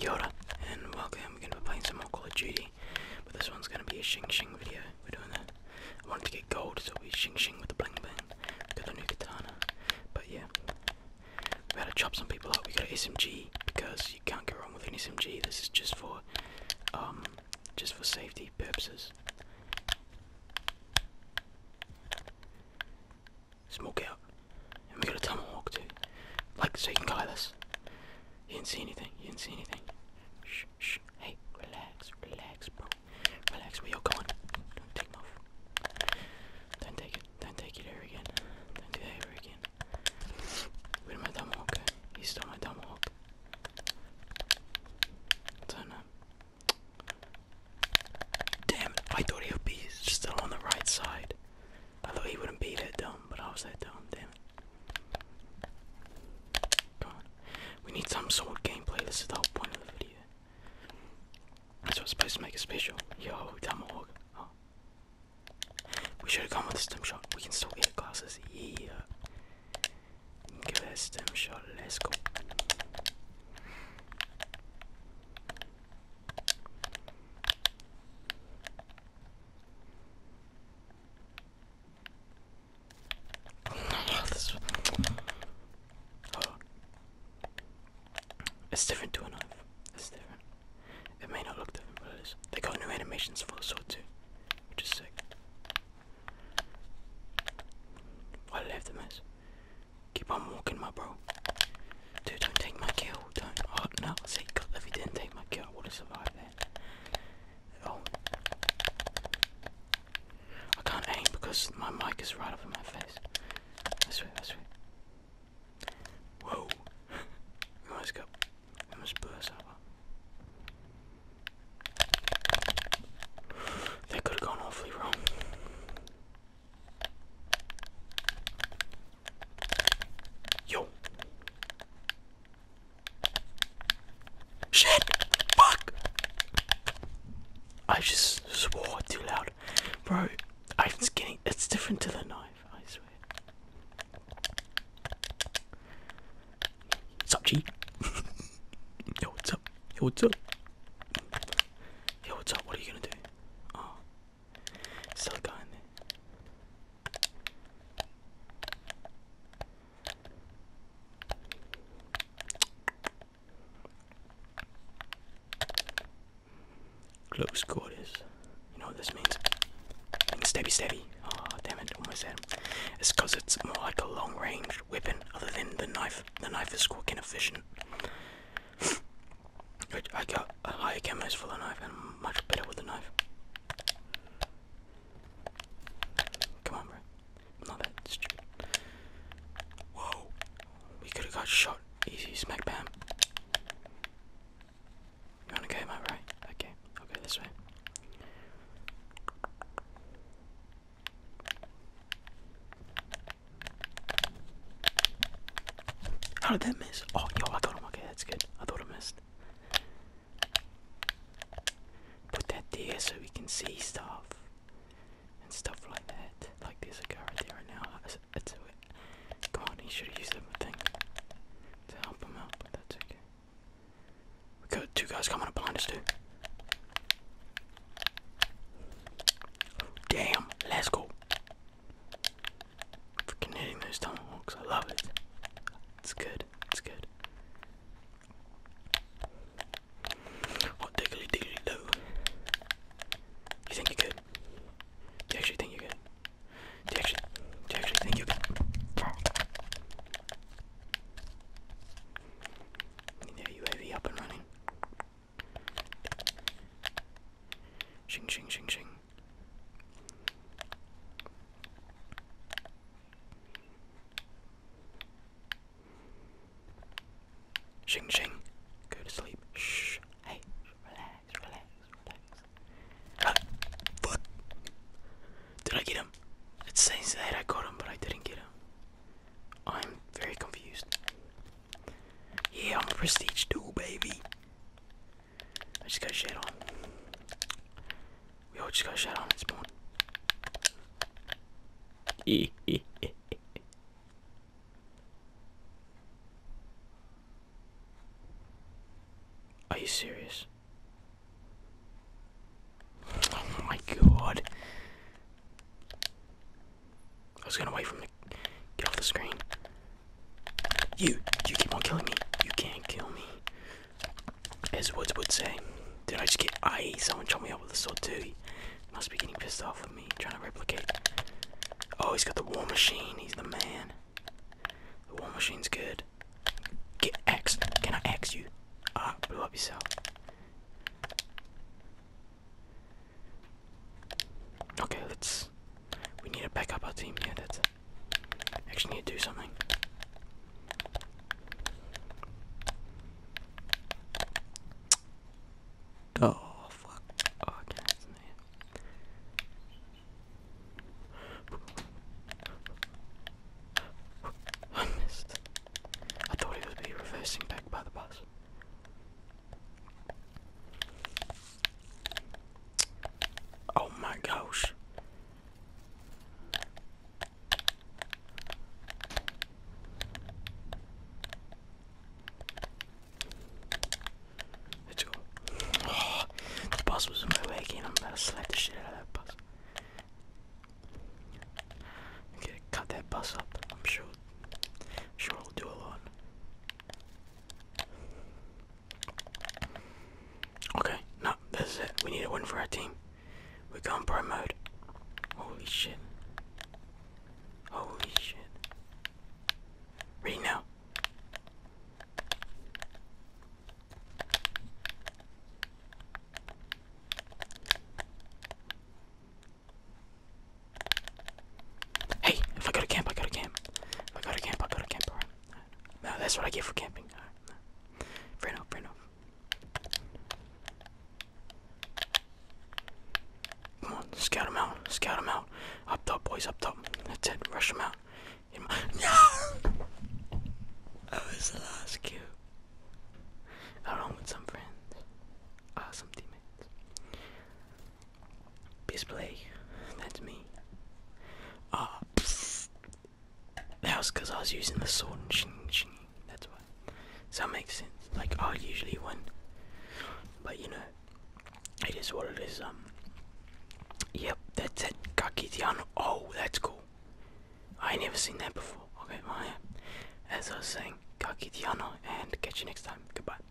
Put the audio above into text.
Yoda, and welcome. We're gonna be playing some more Call of Duty, but this one's gonna be a Shing Shing video. We're doing that. I wanted to get gold, so we Shing Shing with the bling bling. Got the new katana, but yeah, we gotta chop some people up. We got an SMG because you can't go wrong with an SMG. This is just for, um, just for safety purposes. Smoke out. And we got a tunnel walk too. Like, so you can guide us. You didn't see anything, you didn't see anything. Shh, shh, hey, relax, relax, bro. Relax, where you're going. Don't take them off. Don't take it, don't take it ever again. Don't do it ever again. Where's my dumb hawk? He's still my dumb hawk. Don't Damn, I thought he would be still on the right side. I thought he wouldn't be that dumb, but I was that dumb, damn it. Come on. We need some sort of gameplay, this is the whole point of the video. That's what's supposed to make it special. Yo, Tomahawk. Oh. We should have gone with the stem shot. We can still get glasses. here. Give us a stem shot. Let's go this oh. It's different to a knife. It's different. It may not look different, but it is. They got new animations for the sword too, which is sick. I have to miss? Keep on walking, my bro. Dude, don't take my kill. Don't. Oh, no. See, God, if he didn't take my kill, I would have survived there. Oh. I can't aim because my mic is right up in my face. That's right, that's right. Whoa. we almost got. We almost burst over. That could have gone awfully wrong. Yo. Shit! Fuck! I just swore too loud. Bro, I'm getting it's different to the knife, I swear. What's up, G? Yo, what's up? Yo, what's up? Yo, what's up? What are you gonna do? Oh. Silicon. Close quarters. You know what this means? And steady, steady. Oh, damn it! Almost had him. It's because it's more like a long-range weapon, other than the knife. The knife is quick and efficient. I got a higher cameras for the knife and much better with the knife. Come on, bro. not that stupid. Whoa. We could have got shot. Easy, smack bam. You wanna go my right? Okay, Okay. this way. How did that miss? Oh, yo, I got him. Okay, that's good. I thought I missed. Put that there so we can see stuff and stuff like that. Like there's a guy right there right now. That's, that's it. Come on, he should have used that thing to help him out, but that's okay. We got two guys coming up behind us too. Damn, let's go. Freaking hitting those tomahawks, I love it. It's good, it's good. What diggly diggly do? You think you're good? Do you actually think you're good? Do you actually, do you actually think you're good? There you up and running. Shing shing shing shing. Shing shing. Go to sleep. Shh. Hey. Relax. Relax. Relax. Ah, fuck. Did I get him? It says that I got him, but I didn't get him. I'm very confused. Yeah, I'm a prestige dude, baby. I just got shit on. We all just got shit on It's this Are you serious? Oh my god. I was gonna wait for get off the screen. You, you keep on killing me. You can't kill me. As Woods would say. Did I just get I someone chopped me up with a sword too? must be getting pissed off with me, trying to replicate. Oh, he's got the war machine, he's the man. The war machine's good. Get X. Can I X you? Ah, blow up yourself. Okay, let's we need to back up our team. Yeah, that's it. Actually, need to do something. Oh fuck! Oh, I missed. I thought he would be reversing back by the bus. Oh my gosh. Let's go. the bus was in my way again. I'm about to slap the shit out of that bus. gonna cut that bus up. I'm sure. sure it'll do a lot. Okay, no, that's it. We need a win for our team. We're going pro mode. Holy shit. Holy shit. Ready now. Hey, if I go to camp, I go to camp. If I go to camp, I go to camp. that's what I get for camping. All right. No. Come on, scout out, scout out. Up top, boys, up top. That's it, rush out. Him no! was the last cue. Along with some friends, awesome ah, teammates. Bisplay, that's me. Ah, that was because I was using the sword and shing, shing, that's why. So that makes sense. Like I usually win, but you know, it is what it is. Um, yep, that's it. Kakitiano. Oh, that's cool. I never seen that before. Okay, well, As I was saying, Kakitiano, and catch you next time. Goodbye.